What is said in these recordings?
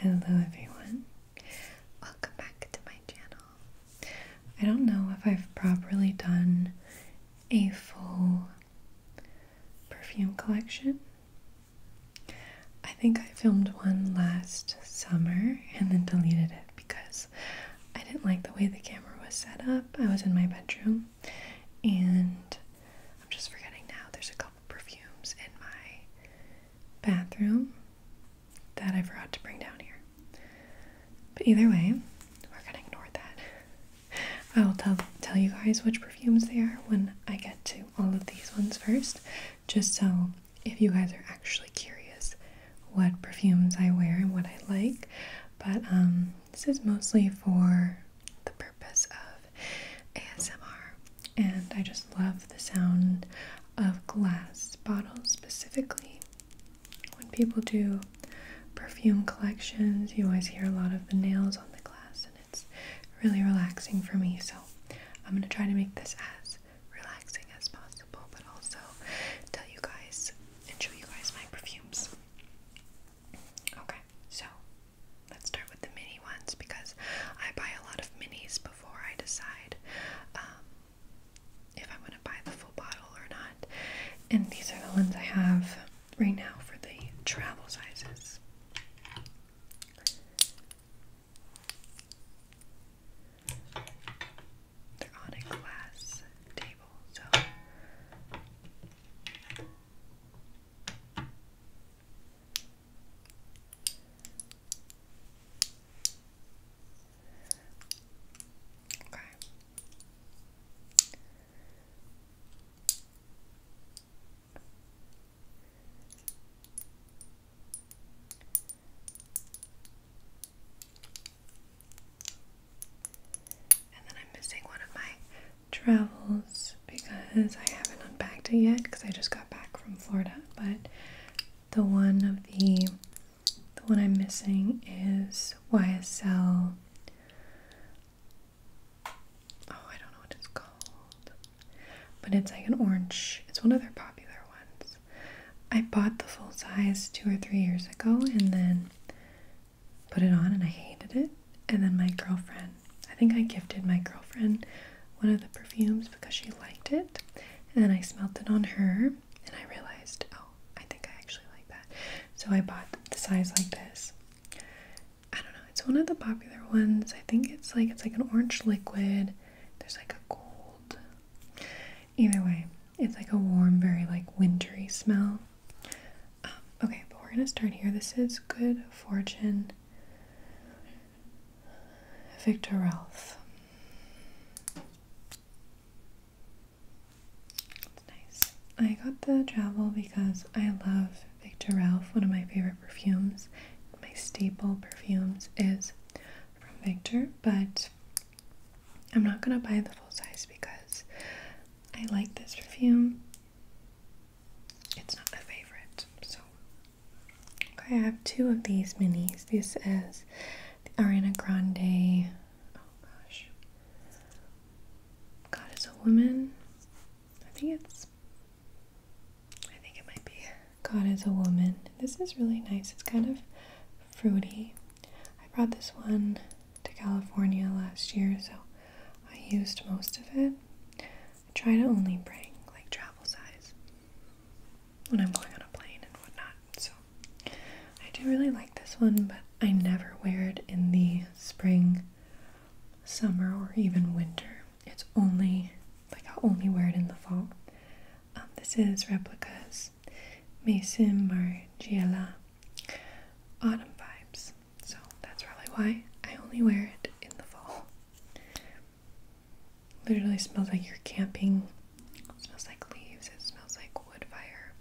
Hello everyone, welcome back to my channel. I don't know if I've properly done a full perfume collection. I think I filmed one last summer and then deleted it because I didn't like the way the camera was set up. I was in my bedroom and I'm just forgetting now. There's a couple perfumes in my bathroom that I forgot to bring down here. But either way, we're gonna ignore that. I will tell tell you guys which perfumes they are when I get to all of these ones first, just so if you guys are actually curious what perfumes I wear and what I like. But um, this is mostly for the purpose of ASMR, and I just love the sound of glass bottles specifically. When people do perfume collections, you always hear a lot of the nails on the glass, and it's really relaxing for me. So, I'm going to try to make this as relaxing as possible, but also tell you guys and show you guys my perfumes. Okay, so Let's start with the mini ones because I buy a lot of minis before I decide um, if I'm going to buy the full bottle or not. And these are the ones I have right now for the travel sizes. They're on a glass table, so Okay. And then I'm missing one of my travels because I haven't unpacked it yet because I just got back from Florida. But the one of the the one I'm missing is YSL. Oh, I don't know what it's called, but it's like an orange. It's one of their popular ones. I bought the full size two or three years ago, and then put it on, and I hated it. And then my girlfriend I think I gifted my girlfriend one of the perfumes because she liked it, and then I smelled it on her, and I realized, oh, I think I actually like that. So I bought the size like this. I don't know, it's one of the popular ones. I think it's like it's like an orange liquid. There's like a gold. Either way, it's like a warm, very like wintry smell. Um, okay, but we're gonna start here. This is Good Fortune Victor Ralph. It's nice. I got the travel because I love Victor Ralph. One of my favorite perfumes, my staple perfumes, is from Victor, but I'm not gonna buy the full size because I like this perfume it's not my favorite, so. Okay, I have two of these minis. This is the Ariana Grande. Oh gosh. God is a woman. I think it's. I think it might be. God is a woman. This is really nice. It's kind of fruity. I brought this one to California last year, so I used most of it. I try to only bring like travel size when I'm going on a plane and whatnot. So I do really like this one, but I never wear it in the spring, summer, or even winter. It's only like I'll only wear it in the fall. Um, this is replicas Mason Margiela Autumn Vibes. So that's probably why I only wear it in the fall. Literally smells like you're camping. It smells like leaves. It smells like wood fire.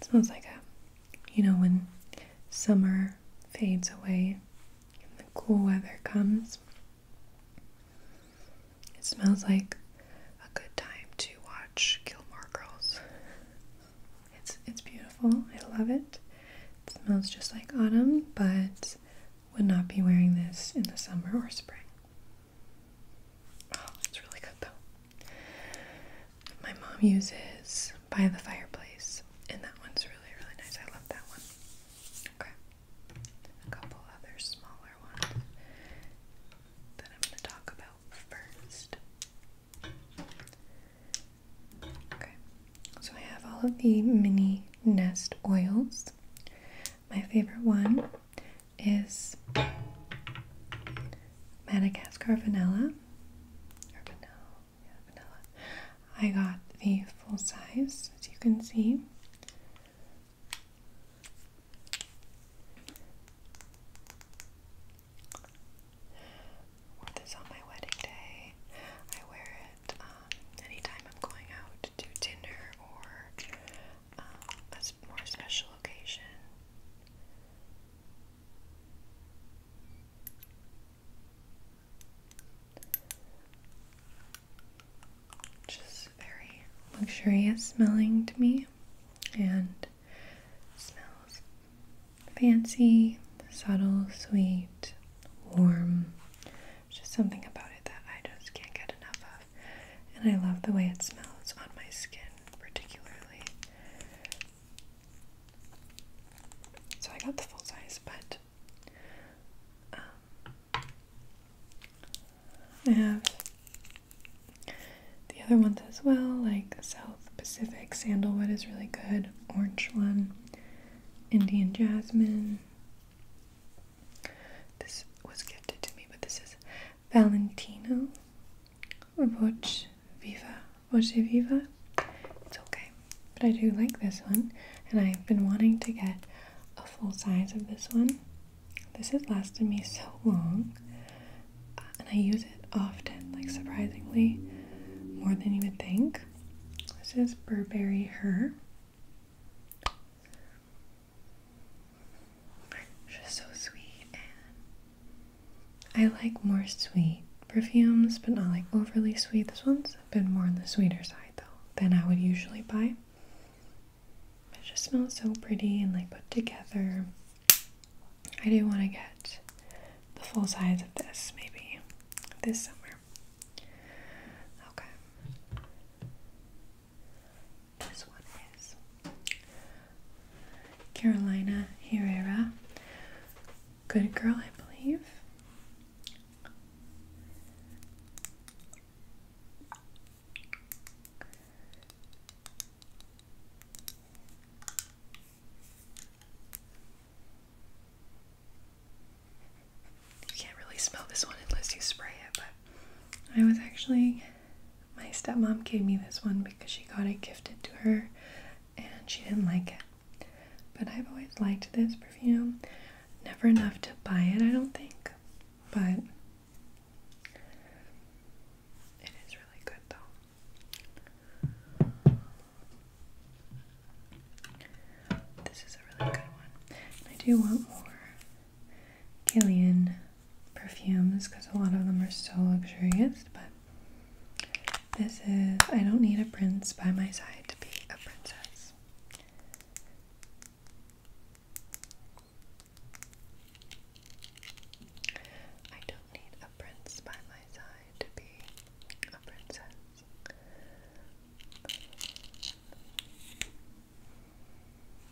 It smells like a, you know, when summer fades away and the cool weather comes. It smells like a good time to watch Gilmore Girls. It's it's beautiful. I love it. It smells just like autumn, but would not be wearing this in the summer or spring. Oh, it's really good though. My mom uses by the fireplace, and that one's really, really nice. I love that one. Okay. A couple other smaller ones that I'm going to talk about first. Okay, so I have all of the mini nest oils. My favorite one is Madagascar vanilla. vanilla. I got the full size, as you can see. Wore this on my wedding day. I wear it um, anytime I'm going out to dinner or um, a more special occasion. Just very luxurious smelling to me and smells fancy, subtle, sweet, warm. Just something about it that I just can't get enough of. And I love the way it smells on my skin, particularly. So I got the full size, but um, I have the other ones as well, like so Pacific sandalwood is really good. Orange one. Indian jasmine. This was gifted to me, but this is Valentino. Voce Viva. Voce Viva. It's okay. But I do like this one. And I've been wanting to get a full size of this one. This has lasted me so long. And I use often, like surprisingly, more than you would think. This is Burberry Her. She's so sweet, I like more sweet perfumes, but not like overly sweet. This one's a bit more on the sweeter side though than I would usually buy. It just smells so pretty and like put together. I do want to get the full size of this maybe this summer. Okay. This one is Carolina Herrera. Good girl, I believe. You can't really smell this one unless you spray it, but I was actually, my stepmom gave me this one because she got it gifted to her and she didn't like it. But I've always liked this perfume. Never enough to buy it, I don't think, but it is really good though. This is a really good one. I do want more Gillian perfumes because a lot of them are so luxurious, but this is I don't need a prince by my side to be a princess. I don't need a prince by my side decide to be a princess.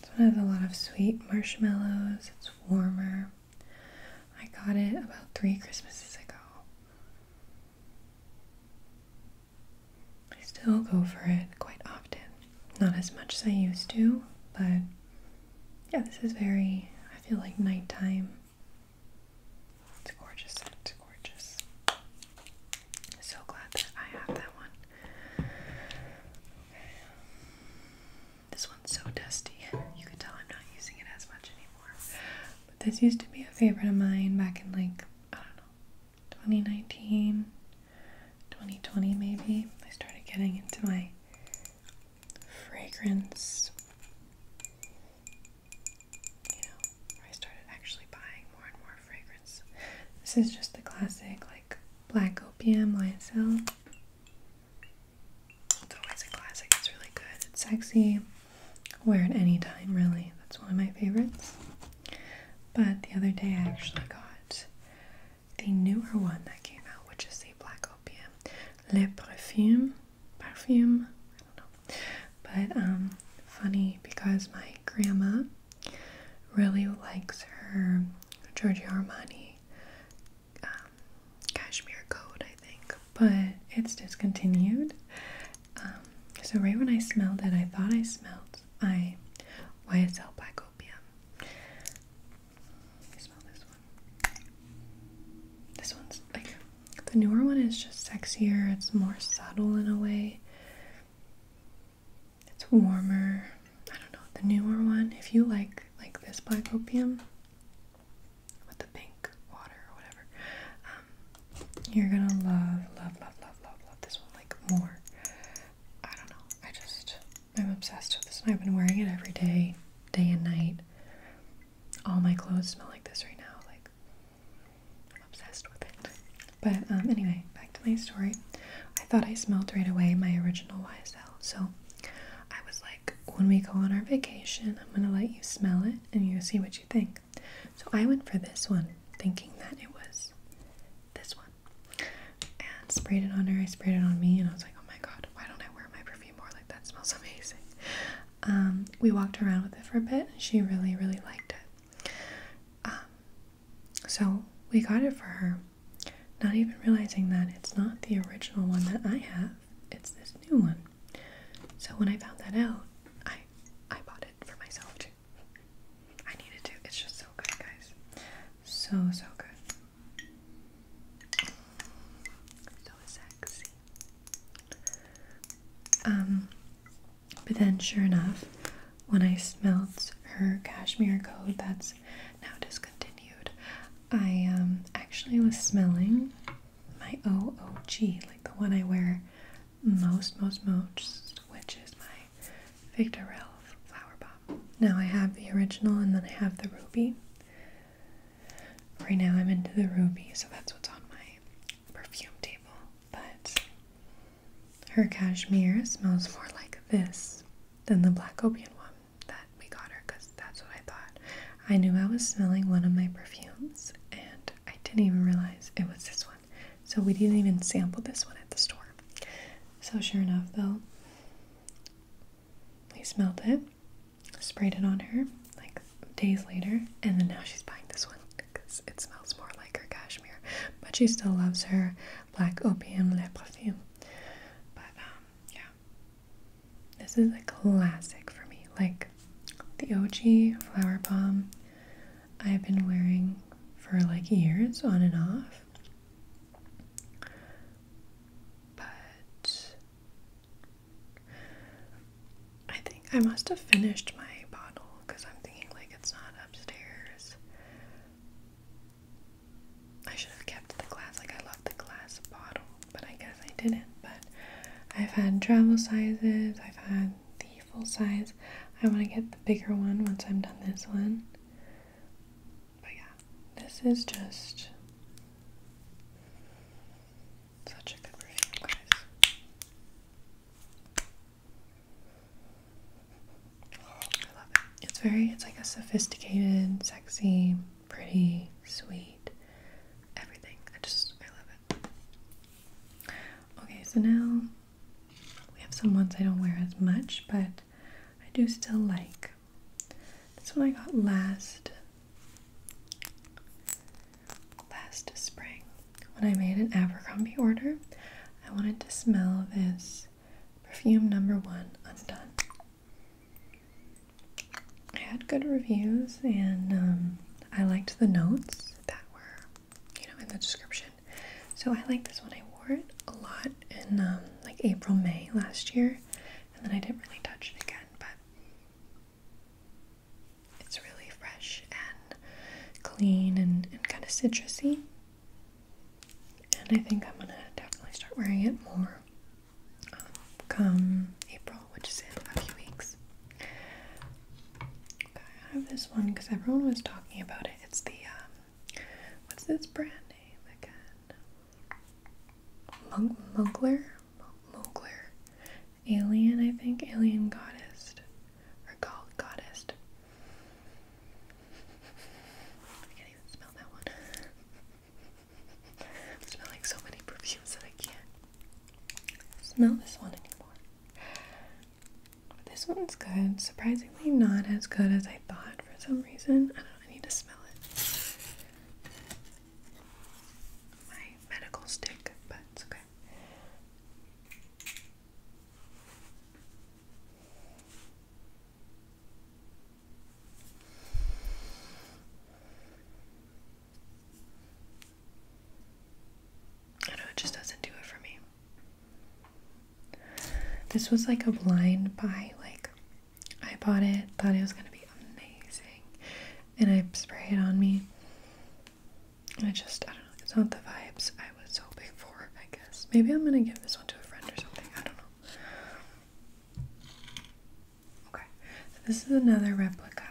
This one has a lot of sweet marshmallows. It's warmer. I got it about three Christmases ago. I still go for it quite often. Not as much as I used to, but yeah, this is very, I feel like nighttime it's gorgeous It's gorgeous. So glad that I have that one. This one's so dusty. You can tell I'm not using it as much anymore. But this used to be a favorite of mine back in like, I don't know, 2019, 2020 maybe. I started getting into my fragrance. You know, I started actually buying more and more fragrance. This is just the classic, like black opium YSL. It's always a classic. It's really good. It's sexy. Wear it any time, really. That's one of my favorites. But the other day, I actually got the newer one that came out, which is the black opium, Le Perfume perfume. I don't know. But um, funny because my grandma really likes her Giorgio Armani um, cashmere coat, I think, but it's discontinued. Um, so right when I smelled it, I thought I smelled I YSL Black Opium. Let smell this this one's like the newer one is just sexier, it's more subtle in a way. It's warmer. I don't know. The newer one, if you like like this black opium with the pink water or whatever, um, you're gonna love, love, love, love, love, love this one like more. I don't know. I just I'm obsessed with this, and I've been wearing it every day, day and night all my clothes smell like this right now. Like, I'm obsessed with it. But um, anyway, back to my story. I thought I smelled right away my original YSL. So I was like, when we go on our vacation, I'm going to let you smell it and you see what you think. So I went for this one, thinking that it was this one. And sprayed it on her, I sprayed it on me, and I was like, oh my god, why don't I wear my perfume more? Like, that smells amazing. Um, we walked around with it for a bit. She really, really liked it. Um, so we got it for her, not even realizing that it's not the original one that I have. It's this new one. So when I found that out, I I bought it for myself too. I needed to. It's just so good, guys. So so good. So sexy. Um, but then, sure enough, when I smelled her cashmere coat that's now discontinued, I um, actually was smelling my OOG, like the one I wear most, most, most, which is my Victor Ralph flower bomb. Now I have the original and then I have the ruby. Right now I'm into the ruby, so that's what's on my perfume table. But her cashmere smells more like this than the black opium one that we got her because that's what I thought. I knew I was smelling one of my perfumes and I didn't even realize it was this one. So we didn't even sample this one at the store. So sure enough though, we smelled it sprayed it on her like days later, and then now she's buying this one because it smells more like her cashmere. But she still loves her black opium le parfum. But um, yeah, this is a classic for me. Like the OG Flower Bomb, I've been wearing for like years on and off. But I think I must have finished my bottle because I'm thinking like it's not upstairs. I should have kept the glass, like I love the glass bottle, but I guess I didn't. But I've had travel sizes, I've had the full size. I want to get the bigger one once I'm done this one. But yeah, this is just such a good review, guys. Oh, I love it. It's very, it's like a sophisticated, sexy, pretty, sweet, everything. I just, I love it. Okay, so now we have some ones I don't wear as much, but I do still like. This one I got last last spring when I made an Abercrombie order. I wanted to smell this perfume number one, Undone. I had good reviews and um, I liked the notes that were, you know, in the description. So I liked this one. I wore it a lot in um, like April, May last year, and then I didn't really touch it again. But it's really fresh and clean and, and kind of citrusy. And I think I'm gonna definitely start wearing it more um, come April, which is in a few weeks. Okay, I have this one because everyone was talking about it. It's the um, what's this brand name again? Mugler Mowgler, alien, I think, alien goddess, or called goddess. I can't even smell that one. smelling so many perfumes that I can't smell this one anymore. this one's good. Surprisingly, not as good as I thought for some reason. I don't know. I need to smell it my medical stick, but it's okay. I know it just doesn't do it for me. This was like a blind buy, like I bought it, thought it was gonna be amazing, and I spray it on me. I just, I don't know, it's not the vibes I was hoping for, I guess. Maybe I'm gonna give this one to a friend or something, I don't know. Okay, this is another replica.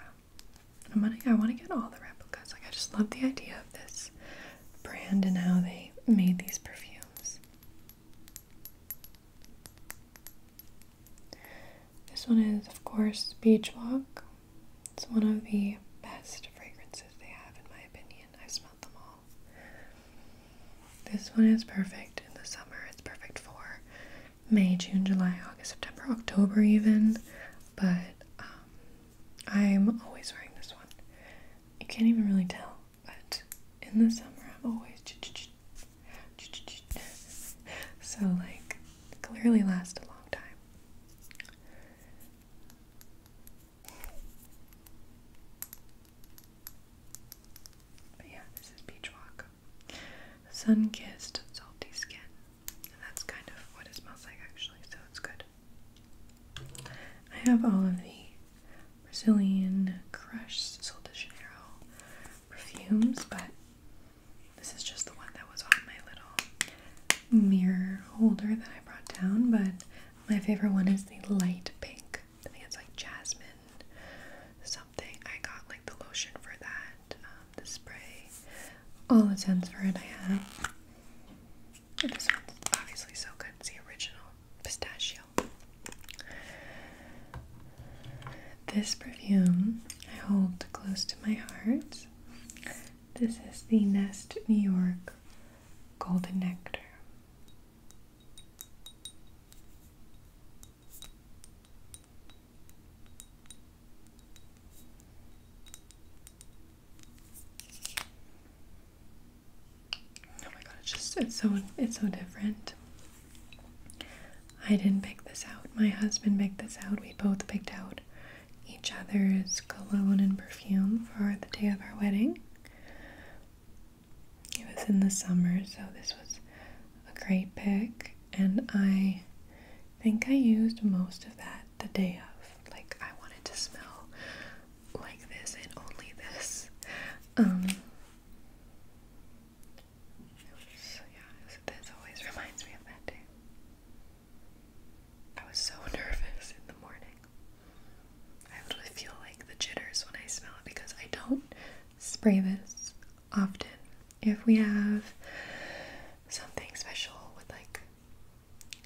I'm gonna, I wanna get all the replicas. Like, I just love the idea of this brand and how they made these perfumes. This one is, of course, Beach Walk. It's one of the best fragrances they have, in my opinion. I've smelled them all. This one is perfect in the summer. It's perfect for May, June, July, August, September, October, even. But um, I'm always wearing this one. You can't even really tell, but in the summer, I'm always so like clearly last a long time but yeah this is beach walk sun-kissed salty skin and that's kind of what it smells like actually so it's good I have all of the Brazilian Crush Sol de Janeiro perfumes, but this is just the one that was on my little mirror holder that I brought down. But my favorite one is the light pink. I think it's like jasmine something. I got like the lotion for that, um, the spray, all the scents for it I have. And this one's obviously so good. It's the original pistachio. This perfume I hold close to my heart. This is the Nest New York Golden Nectar. Oh my god, just it's so it's so different. I didn't pick this out. My husband picked this out. We both picked out each other's cologne and perfume for the day of our wedding. It was in the summer, so this was a great pick, and I think I used most of that the day of. Like, I wanted to smell like this and only this. Um, yeah, this always reminds me of that day. I was so nervous in the morning. I literally feel like the jitters when I smell it because I don't spray this often. If we have something special with like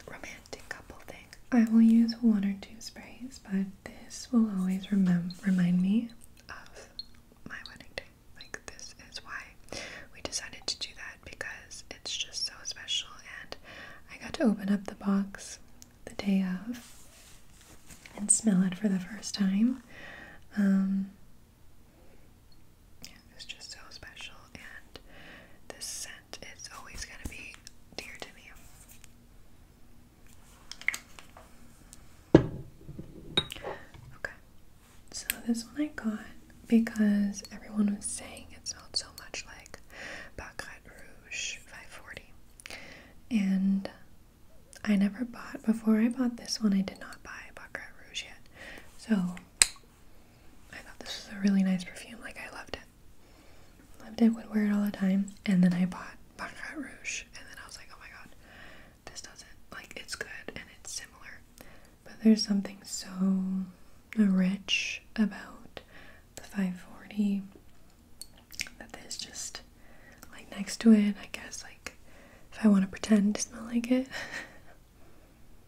romantic couple thing, I will use one or two sprays, but this will always remem remind me of my wedding day. Like, this is why we decided to do that because it's just so special. And I got to open up the box the day of and smell it for the first time. Um, yeah, it's just so special, and this scent is always going to be dear to me. Okay, so this one I got because everyone was saying it smelled so much like Baccarat Rouge 540. And I never bought, before I bought this one, I did not buy Baccarat Rouge yet. So I thought this was a really nice perfume. Like, I loved it. Loved it, would wear it all the time. And then I bought Baccarat Rouge. And then I was like, oh my god, this doesn't. Like, it's good and it's similar. But there's something so rich about the 540 that there's just, like, next to it, I guess, like, if I want to pretend to smell like it.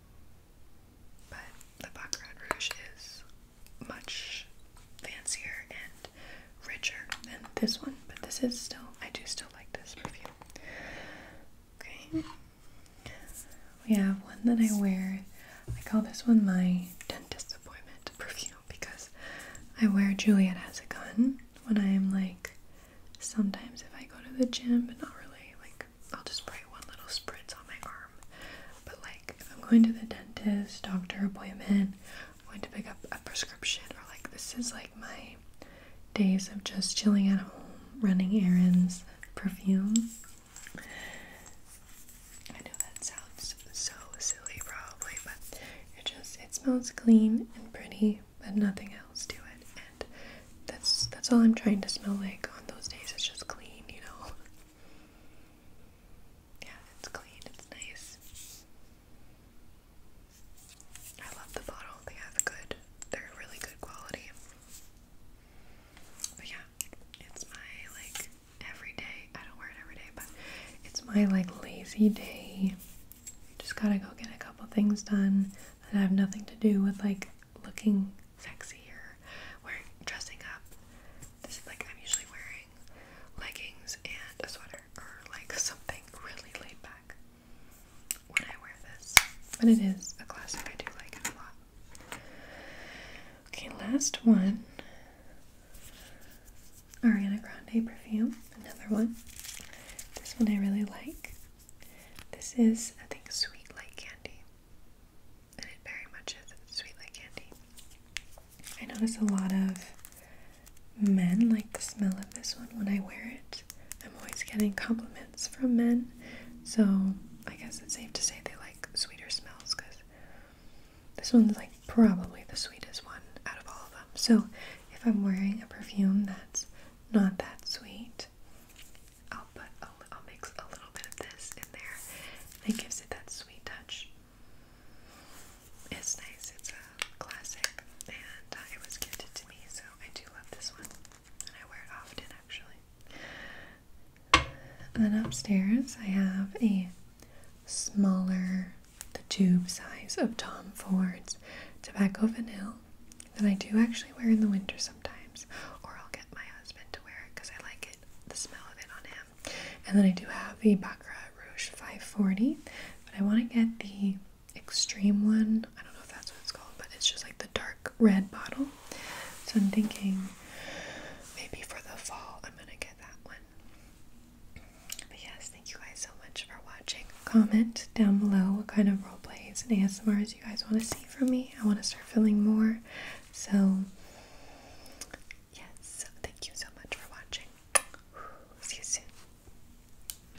but the Baccarat Rouge is much fancier and richer than this one. But this is still, I do still like this perfume. Okay. We have one that I wear. I call this one my dentist appointment perfume because I wear Juliet Has a Gun when I am like sometimes if I go to the gym but not really like I'll just spray one little spritz on my arm. But like if I'm going to the dentist, doctor appointment, I'm going to pick up a prescription or like this is like my days of just chilling at home, running errands, perfume. I know that sounds so silly, probably, but it just it smells clean and pretty, but nothing else to it. And that's that's all I'm trying to smell like on those days. It's just clean, you know. Yeah, it's clean. It's nice. I love the bottle. They have good, they're really good quality. But yeah, it's my like every day. I don't wear it every day, but it's my like lazy day. Just gotta go get a couple things done that have nothing to do with like looking sexy or wearing dressing up. This is like I'm usually wearing leggings and a sweater or like something really laid back when I wear this. But it is a classic, I do like it a lot. Okay, last one Ariana Grande perfume, another one. This one I really like. This is, I think, Sweet Like Candy. And it very much is sweet like candy. I notice a lot of men like the smell of this one when I wear it. I'm always getting compliments from men, so I guess it's safe to say they like sweeter smells because this one's like probably the sweetest one out of all of them. So if I'm wearing a perfume that's not that sweet, I'll put a, I'll mix a little bit of this in there. That gives it that sweet touch. It's nice. It's a classic, and uh, it was gifted to me, so I do love this one. And I wear it often actually. And then upstairs I have a smaller, the tube size of Tom Ford's Tobacco Vanilla that I do actually wear in the winter sometimes, or I'll get my husband to wear it because I like it, the smell of it on him. And then I do have the Baccarat Rouge 540, but I want to get the extreme one. I don't know if that's what it's called, but it's just like the dark red bottle. So I'm thinking maybe for the fall I'm gonna get that one. But yes, thank you guys so much for watching. Comment down below what kind of role plays and ASMRs you guys want to see from me. I want to start filming more. So yes, thank you so much for watching. See you soon.